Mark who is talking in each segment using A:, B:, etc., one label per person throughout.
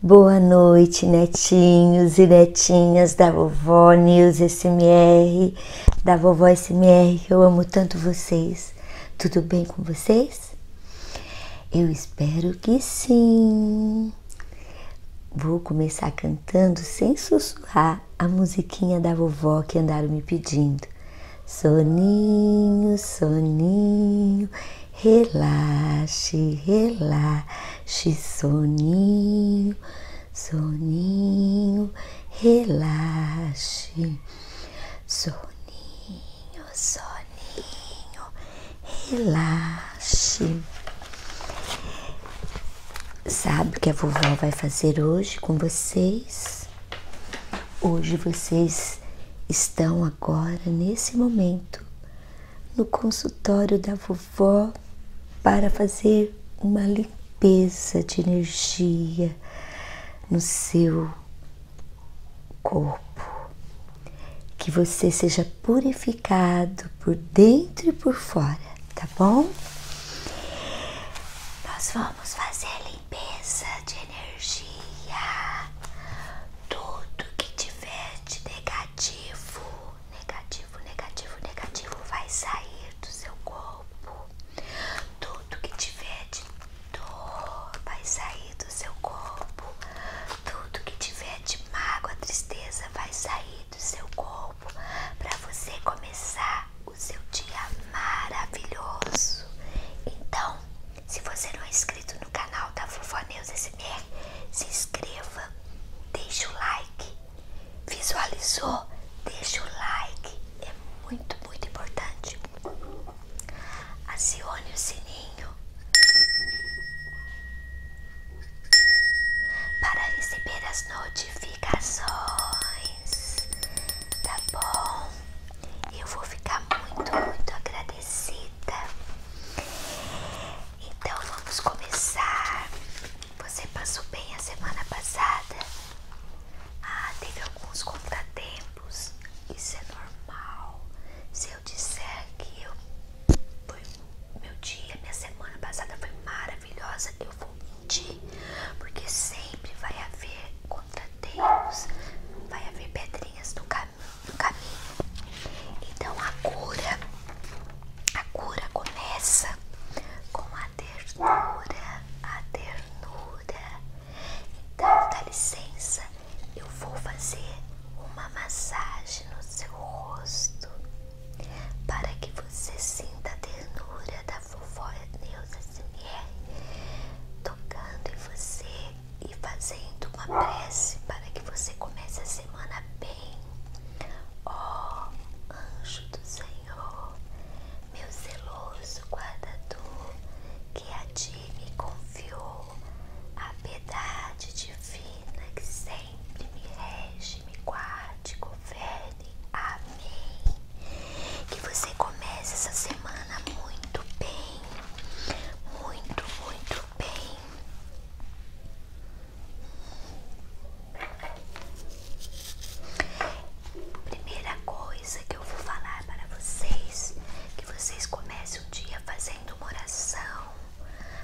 A: Boa noite, netinhos e netinhas da vovó News SMR, da vovó SMR, eu amo tanto vocês. Tudo bem com vocês? Eu espero que sim. Vou começar cantando sem sussurrar a musiquinha da vovó que andaram me pedindo. Soninho, soninho, Relaxe, relaxe, soninho, soninho, relaxe. Soninho, soninho, relaxe. Sabe o que a vovó vai fazer hoje com vocês? Hoje vocês estão agora nesse momento no consultório da vovó para fazer uma limpeza de energia no seu corpo. Que você seja purificado por dentro e por fora, tá bom?
B: Nós vamos fazer limpeza de energia tudo que tiver de negativo, negativo, negativo, negativo vai sair do seu corpo. Tudo que tiver de dor vai sair do seu corpo. Tudo que tiver de mágoa, tristeza vai sair do seu corpo para você começar o seu dia maravilhoso. Então, se você não é inscrito no canal da Vovó Neuza, se é, se inscreva, deixe o like. Visualizou? Deixe o like. É muito, muito importante. Acione o sininho para receber as notificações. Tá bom? Eu vou ficar muito, muito agradecida. Então vamos começar. Você passou bem a semana passada? Ah, teve alguns contratempos. Isso é normal. Se eu disser que eu meu dia, minha semana passada foi maravilhosa, eu vou mentir, porque sempre vai haver contratempos, vai haver pedrinhas no caminho cam caminho. Então a cura, a cura começa com a ternura, a ternura. Então dá licença, eu vou fazer uma massagem no seu rosto para que você sinta a ternura da vovó Neuza Simier tocando em você e fazendo uma prece para que você comece a semana bem. Ó oh, anjo do Senhor, meu zeloso guardador, que a ti me confiou a piedade divina que sempre me rege, me guarde, governe. Amém. Que você comece essa semana muito bem, muito, muito bem. Primeira coisa que eu vou falar para vocês, que vocês comecem o dia fazendo uma oração.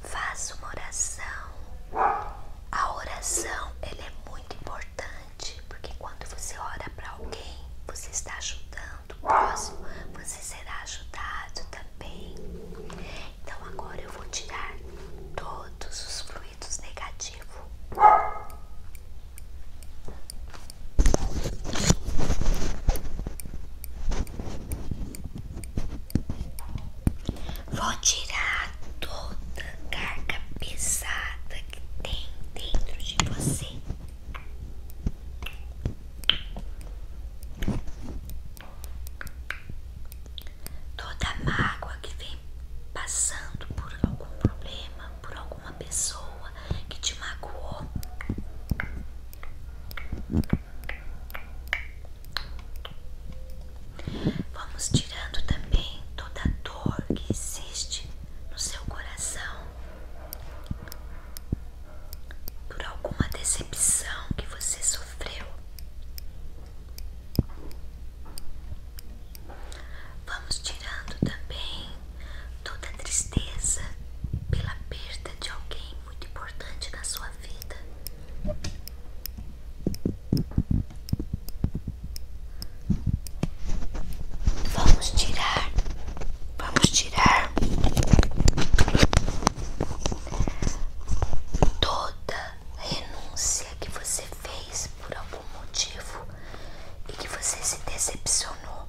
B: Faça uma oração. A oração, ela é muito importante, porque quando você ora para alguém, você está ajudando o próximo, você será ajudado também. Então agora eu vou tirar todos os fluidos negativos. Vou tirar toda a carga pesada que tem dentro de você. Toda mágoa que vem passando por algum problema, por alguma pessoa que te magoou, vamos tirando também toda dor que existe no seu coração por alguma decepção que você sofreu. Vamos tirando também toda tristeza pela perda de alguém muito importante na sua vida. Vamos tirar, vamos tirar toda renúncia que você fez por algum motivo e que você se decepcionou.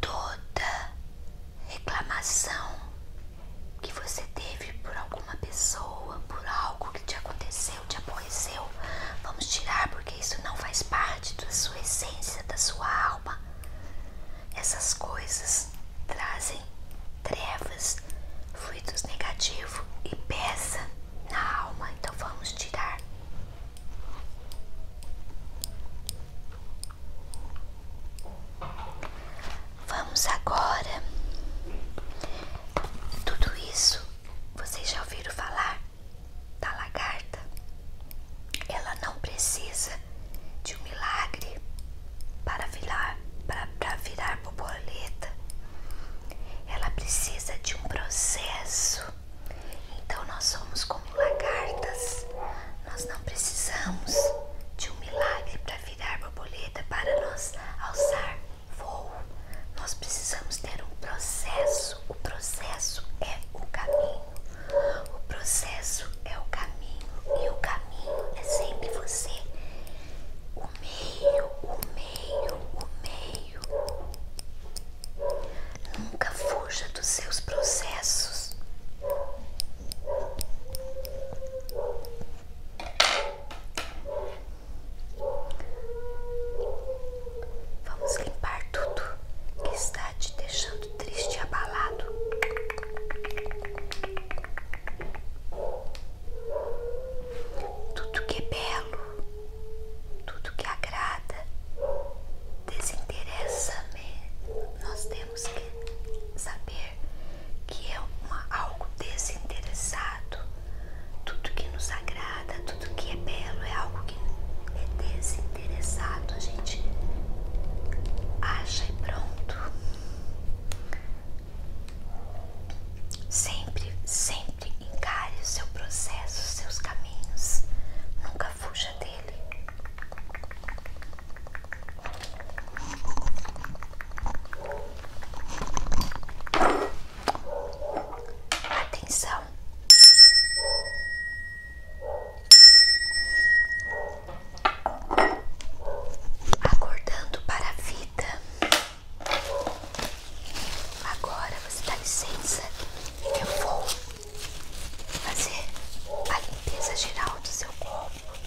B: Toda reclamação que você teve por alguma pessoa, por algo que te aconteceu, te aborreceu, vamos tirar porque isso não faz parte da sua essência, da sua alma. Essas coisas trazem trevas, fluidos negativos e pesa na alma, então vamos tirar. Vamos agora. Tudo isso vocês já ouviram falar da lagarta? Ela não precisa de um milagre para virar, para, virar borboleta. Ela precisa de um processo. Então nós somos como lagartas. Nós não precisamos de um milagre para virar borboleta para nós alçar voo. Nós precisamos ter um processo. O processo é o caminho. O processo é o caminho e o caminho é sempre você. O meio, o meio, o meio. Nunca fuja dos seus processos. Vamos limpar tudo que está te deixando triste e abalado. Tudo que é belo, tudo que agrada, desinteressa-me. Nós temos que saber que é algo desinteressado. Tudo que nos agrada, tudo que é belo é algo que é desinteressado. A gente acha e pronto. Sempre, sempre encare o seu processo, os seus caminhos. Nunca fuja dele. Atenção. Acordando para a vida. Agora você dá licença eu vou fazer a limpeza geral do seu corpo.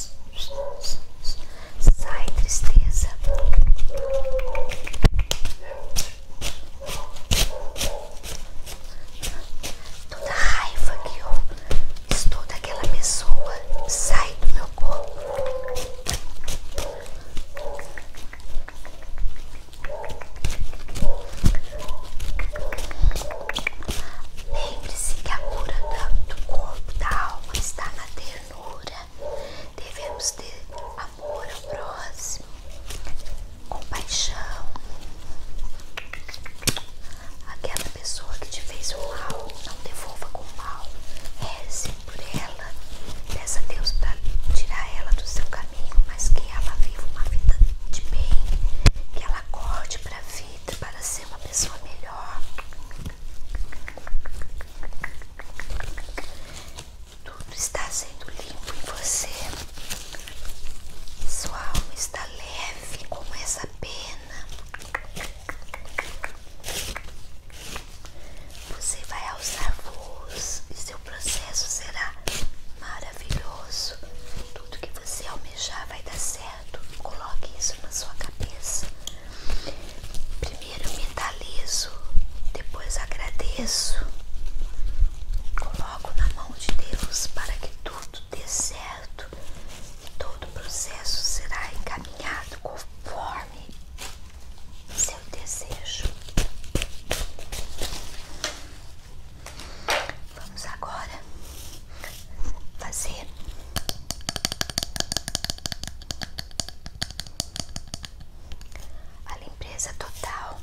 B: Sai, tristeza. Toda raiva que eu toda aquela pessoa sai do meu corpo. Lembre-se que a cura do corpo, da alma, está na ternura. Devemos ter amor ao próximo, compaixão. Aquela pessoa que te fez o mal, não devolva com o mal. Reze por ela. Peça a Deus para tirar ela do seu caminho, mas que ela viva uma vida de bem, que ela acorde para a vida, para ser uma uma pessoa melhor. Tudo está sendo limpo em você. Sua alma está leve como essa pena. Você vai alçar voos e seu processo será maravilhoso. Tudo que você almejar vai dar certo. Coloque isso na sua cabeça. Primeiro mentalizo, depois agradeço. Coloco na mão de Deus para que tudo dê certo e todo o processo será encaminhado conforme seu desejo. Vamos agora fazer a limpeza total.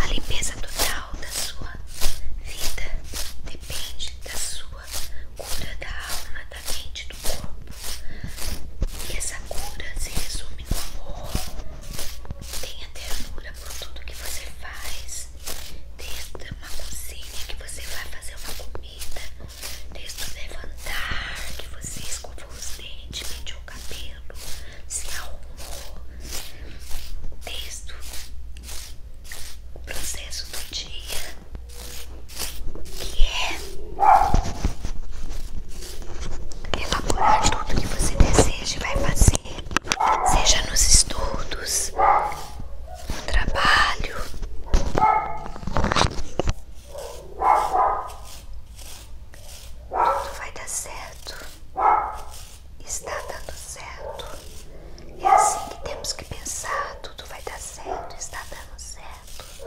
B: A limpeza total da sua vida depende da sua cura da alma, da mente, do corpo. E essa cura se resume no amor. Tenha ternura por tudo que você faz, desde uma cozinha que você vai fazer uma comida, desde levantar que você escova os dentes, penteou o cabelo, se arrumou, desde o processo do dia que é elaborar tudo que você deseja e vai fazer seja nos estudos, no trabalho. Tudo vai dar certo. Está dando certo. É assim que temos que pensar. Tudo vai dar certo. Está dando certo.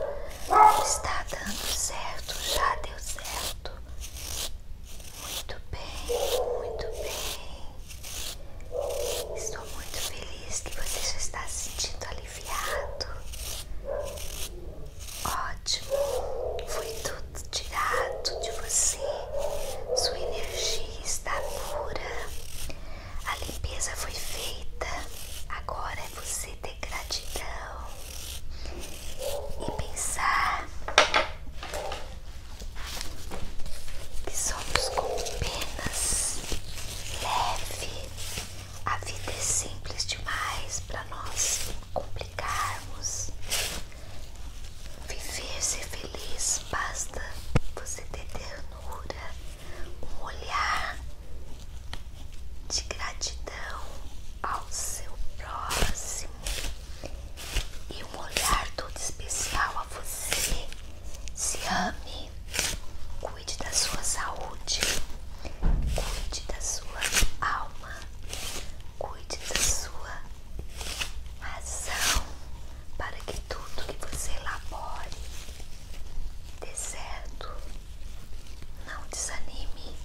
B: Está dando certo. Já deu certo. Muito bem, muito bem. Estou muito feliz que você já está se sentindo aliviado. Ótimo, foi tudo tirado de você. Sua energia está pura. A limpeza foi feita. Agora é você ter gratidão e pensar que somos como penas leves, A vida é simples demais para nós complicarmos. Viver, ser feliz, basta você ter ternura, um olhar de gratidão ao seu próximo e um olhar todo especial a você. Se ame, cuide da sua saúde, cuide da sua alma, cuide da sua razão para que tudo que você elabore dê certo. Não desanime.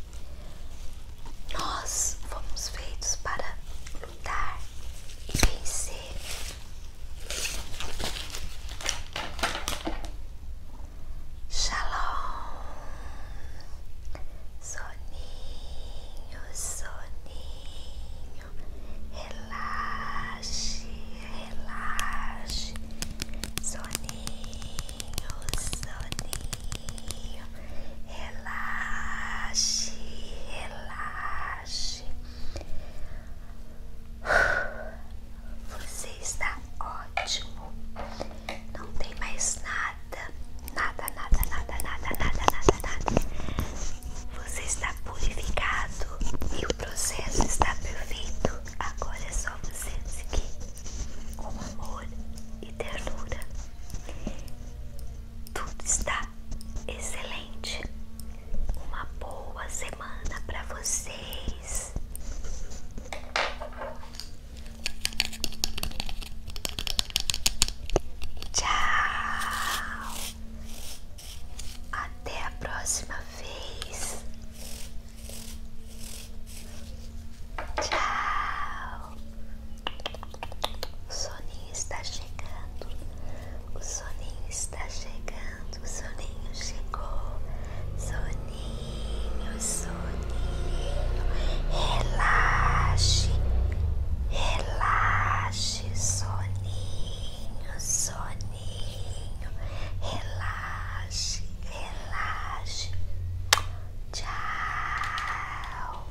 B: Nós fomos feitos para lutar e vencer. Shalom, soninho, soninho, relaxe, relaxe, soninho, soninho. Relaxe, relaxe. Você está ótimo. Não tem mais nada, nada, nada, nada, nada, nada, nada, nada. Você está purificado e o processo está perfeito. Agora é só você seguir com amor e ternura tudo está excelente. Uma boa semana para vocês. Tchau. Até a próxima vez. Tchau. O soninho está chegando. O soninho está chegando. O soninho chegou. Soninho, soninho. Relaxe. Relaxe, soninho, soninho. Relaxe, relaxe. Tchau.